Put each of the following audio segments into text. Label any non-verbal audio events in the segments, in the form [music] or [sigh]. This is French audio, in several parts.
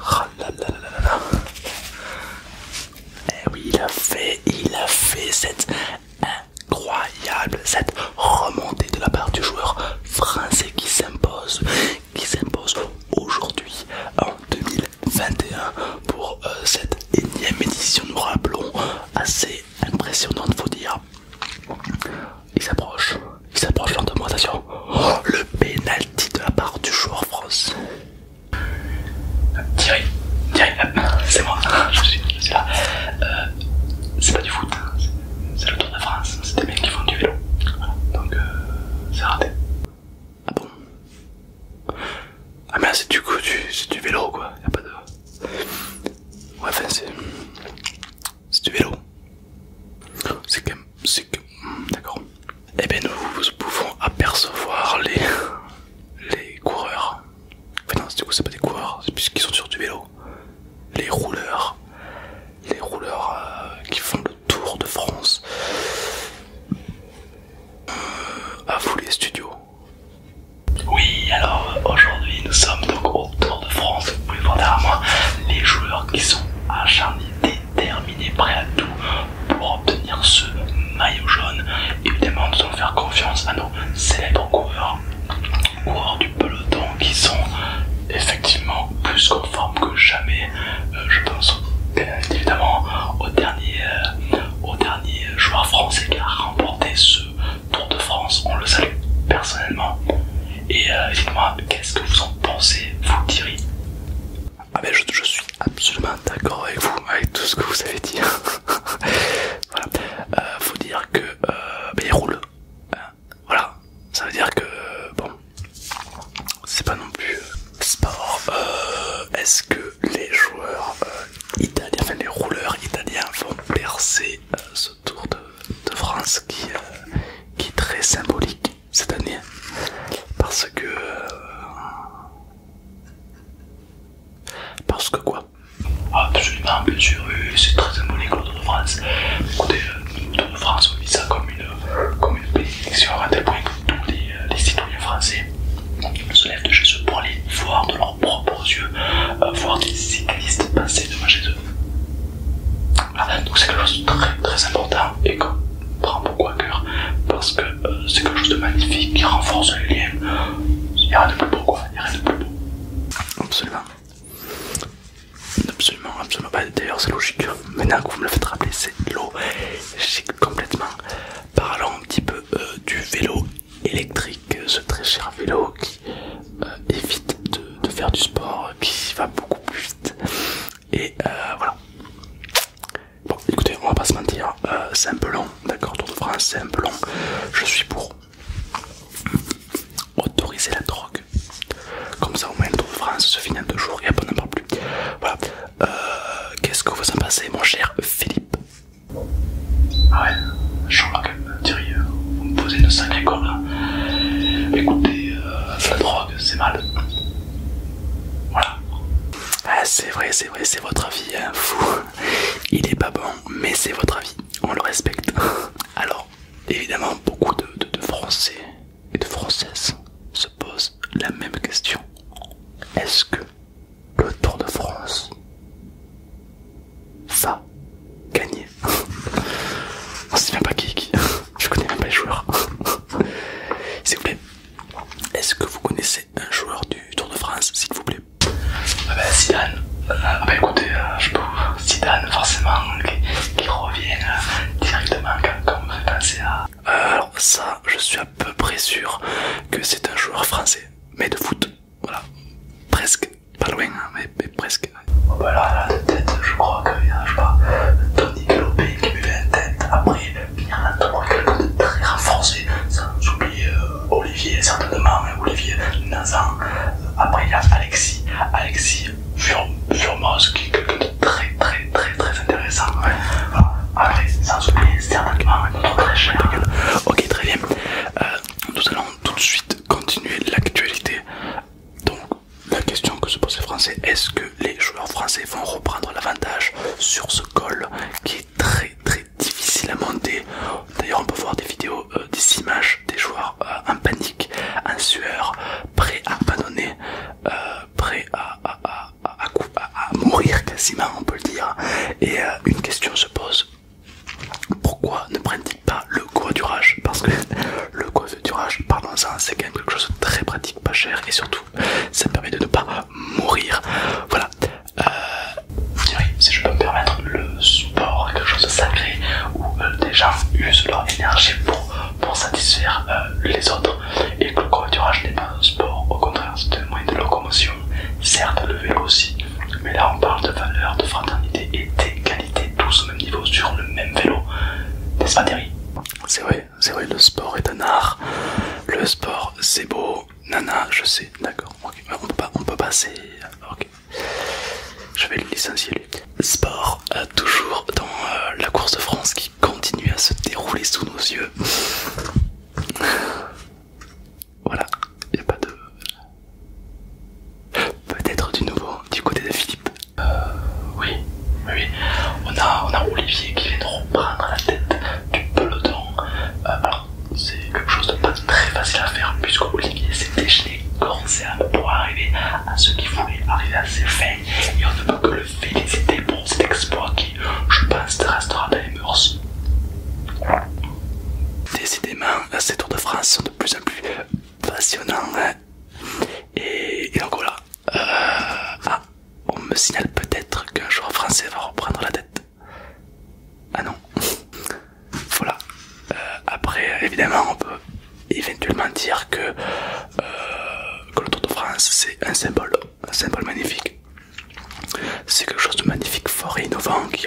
Ah là Eh oui, il a fait, il a fait cette incroyable, cette remontée de la part du joueur français qui s'impose, qui s'impose aujourd'hui en 2021 pour euh, cette énième édition, de rappelons, assez impressionnante, faut dire. Il s'approche, il s'approche de moi, oh, le pénalty de la part du joueur France. Thierry, Thierry, ah, c'est moi, je suis, là. Euh, c'est pas du foot, hein. c'est le Tour de France, c'est des mecs qui font du vélo. donc euh, c'est raté. Ah bon Ah mais c'est du coup c'est du vélo quoi, y pas de... Ouais enfin c'est... C'est du vélo. C'est quand même c'est que... D'accord. Et eh bien nous pouvons apercevoir les, les coureurs. Enfin non, du coup c'est pas des coureurs, c'est puisqu'ils sont sur du vélo. Les rouleurs. Les rouleurs euh, qui font le tour de France. Euh, à vous les studios. Oui, alors aujourd'hui nous sommes donc au Tour de France. Vous pouvez voir derrière moi les joueurs qui sont acharnés terminé prêt à tout pour obtenir ce maillot jaune. Évidemment, nous allons faire confiance à nos célèbres coureurs, coureurs du peloton qui sont effectivement plus conformes que jamais. Euh, je pense évidemment au dernier, euh, au dernier joueur français qui a remporté ce Tour de France. On le salue personnellement. Et euh, dites-moi, qu'est-ce que vous en pensez, vous, Thierry ah ben je, suis absolument d'accord avec vous, avec tout ce que vous avez dit. [laughs] voilà. Euh, faut dire que les euh, ben, il roule. Hein. voilà. Ça veut dire que euh, bon, c'est pas non plus sport. Est-ce que les joueurs italiens, enfin les rouleurs italiens vont percer ce tour de, France qui est très symbolique cette année parce que euh, parce que quoi ah, absolument bien sûr c'est très symbolique le Tour de France écoutez euh, le Tour de France on vit ça comme une comme une bénédiction à tel point que tous euh, les, citoyens français se lèvent de chez eux pour aller voir de leurs propres yeux voir des cyclistes passer devant chez eux donc c'est quelque chose de très très important et qu'on prend beaucoup à cœur parce que euh, c'est quelque chose de magnifique qui renforce les liens. Il n'y a rien de plus beau quoi, il n'y a rien de plus beau. Absolument. Absolument, absolument. Bah, D'ailleurs, c'est logique. Hein. Maintenant que vous me le faites rappeler, c'est logique complètement. Parlons un petit peu euh, du vélo électrique, euh, ce très cher vélo qui évite de, faire du sport, qui va beaucoup plus vite. Et euh, voilà. Bon, écoutez, on va pas se mentir, euh, c'est un peu long, d'accord Tour de France, c'est un peu long. Je suis pour autoriser la drogue. Comme ça, au moins, le Tour de France se finit en deux jours et après, on n'en parle plus. Voilà. Euh, qu'est-ce que vous en pensez, mon cher Philippe Ah ouais, que Thierry vous me posez une sacrée corde. Écoutez, la euh, drogue, c'est mal. Voilà. Ah, c'est vrai, c'est vrai, c'est votre avis, hein, fou. Il est pas bon, mais c'est votre avis, on le respecte. Alors, évidemment, beaucoup de, de Français et de Françaises se posent la même question. Est-ce que le Tour de France va gagner je ne même pas qui est qui. Je connais même pas les joueurs. S'il vous plaît, est-ce que vous connaissez un joueur du Tour de France, s'il vous plaît Ah ben Zidane. Ah ben écoutez, euh, je peux Zidane forcément qui, revient euh, directement quand, on fait penser à... Euh, alors ça, je suis à peu près sûr que c'est un joueur français, mais de foot. Voilà, presque. Pas loin, hein, mais, presque. voilà bah ben là, de tête, je crois qu'il y a, je sais pas, Tony Galopé qui me fait la tête. Après, il y en a d'autres, quelqu'un de très renforcé. Sans oublier euh, Olivier, certainement, hein, Olivier Nazan. Après, il y a Alexis, Alexis Furmos qui est quelqu'un de très, très, très, très intéressant. Après, sans oublier certainement notre très cher. Ok, très bien. Euh, nous allons tout de suite continuer l'actualité. Donc, la question que se posent les Français, est-ce que les joueurs français vont reprendre l'avantage sur ce col qui est très très difficile à monter D'ailleurs on peut voir des vidéos, euh, des images des joueurs euh, en panique, en sueur, prêts à abandonner, euh, prêts à, à, mourir quasiment on peut le dire. Et une question se pose, pourquoi ne prennent pas le coiffurage, parce que [laughs] le coiffurage, pardon ça, c'est quand quelque chose de très pratique, pas cher et surtout ça permet de ne pas mourir. Voilà. Euh, si je peux me permettre, le sport quelque chose de sacré où euh, déjà des gens usent leur énergie pour, satisfaire euh, les autres et que le coiffurage n'est pas un sport, au contraire, c'est un moyen de locomotion, certes le vélo aussi, mais là on parle de valeur, de fraternité et d'égalité tous au même niveau sur le même vélo. N'est-ce pas Terry C'est vrai, c'est vrai, le sport est un art. Le sport c'est beau. Nana, je sais, d'accord. ok, euh, On, peut pas, on peut passer. Ok. Je vais le licencier lui. Sport, toujours dans euh, la course de France qui continue à se dérouler sous nos yeux. [laughs] voilà, il a pas de... Peut-être du nouveau du côté de Philippe. Euh, oui, oui, On a, on a Olivier qui vient de reprendre la tête du peloton. Euh, alors, c'est quelque chose de pas très facile à faire puisque Olivier s'est déchaîné corps pour arriver à ce qu'il voulait arriver à ses fins. Et on ne peut que le féliciter pour cet exploit qui, je pense, restera dans les mœurs. Décidément, ces Tours de France sont de plus en plus passionnant. Hein. et, donc voilà. Euh, ah, on me signale peut-être qu'un jour français va reprendre la tête. Ah non. [laughs] voilà. Euh, après, évidemment, on peut éventuellement dire euh, que, le Tour de France, c'est un symbole, un symbole magnifique. C'est quelque chose de magnifique, fort et innovant qui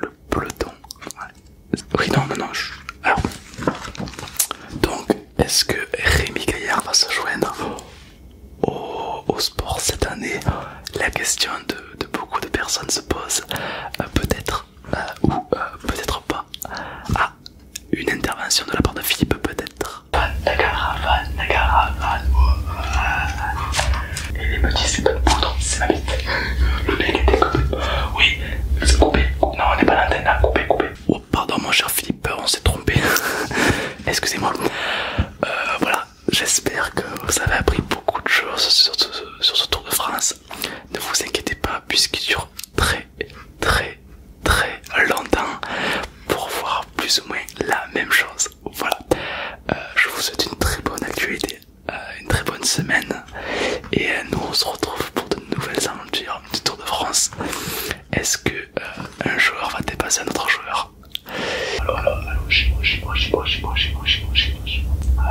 le peloton. Oui, non, non, non. Alors. Donc, est-ce que Rémi Gaillard va se joindre au, sport cette année La question de, beaucoup de personnes se pose. Euh, peut-être euh, ou euh, peut-être pas. Ah, une intervention de la part de Philippe, peut-être. Et les petits, c'est pas de poudre, c'est ma bite. Le mec est Oui, c'est coupé. Non, on n'est pas l'antenne coupé, coupé. Oh, pardon, mon cher Philippe, on s'est trompé. [laughs] Excusez-moi. Euh, voilà, j'espère que vous avez appris beaucoup de choses sur ce Tour de France. Ne vous inquiétez pas, puisqu'il dure très, très, très longtemps pour voir plus ou moins la même chose. Voilà. Euh, je vous souhaite une très bonne actualité, euh, une très bonne semaine. Et euh, nous on se retrouve pour de nouvelles aventures du Tour de France. Est-ce que euh, un joueur va dépasser un autre joueur Allô, allô, allô, chez moi, chez moi, chez moi, chez moi, chez moi, chez moi, chez moi, chez moi.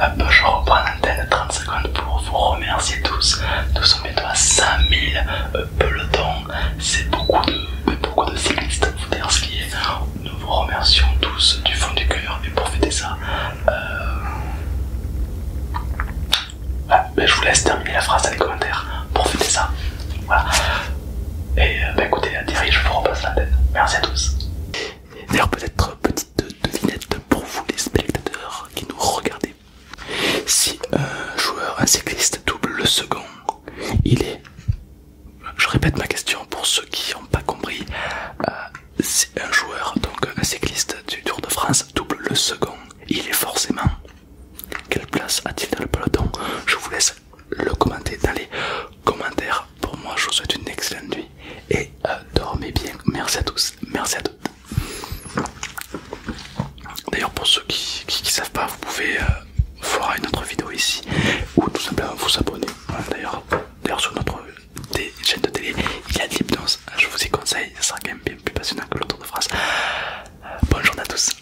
Allô, je reprends l'antenne 30 secondes pour vous remercier tous. Nous sommes bientôt à 5000 le temps, c'est beaucoup de, beaucoup de cyclistes est, Nous vous remercions tous du fond du cœur et pour fêter ça, euh, ah, ben, je vous laisse terminer la phrase dans les commentaires pour fêter ça. Voilà. Et euh, ben, écoutez, Thierry, je vous repasse la tête. Merci à tous. D'ailleurs, peut-être euh, petite devinette pour vous les spectateurs qui nous regardez. Si un joueur, un cycliste double le second il est... Je répète ma question pour ceux qui n'ont pas compris. Euh, c'est un joueur, donc un cycliste du Tour de France, double le second. Il est forcément... Quelle place a-t-il dans le peloton Je vous laisse le commenter dans les commentaires. Pour moi, je vous souhaite une excellente nuit et euh, dormez bien. Merci à tous, merci à toutes. D'ailleurs, pour ceux qui ne savent pas, vous pouvez euh, voir une autre vidéo ici ou tout simplement vous abonner. D'ailleurs, D'ailleurs, sur notre chaîne de télé, il y a de l'hypnose. Je vous y conseille, ça sera quand même bien plus passionnant que le tour de phrase. bonne journée à tous.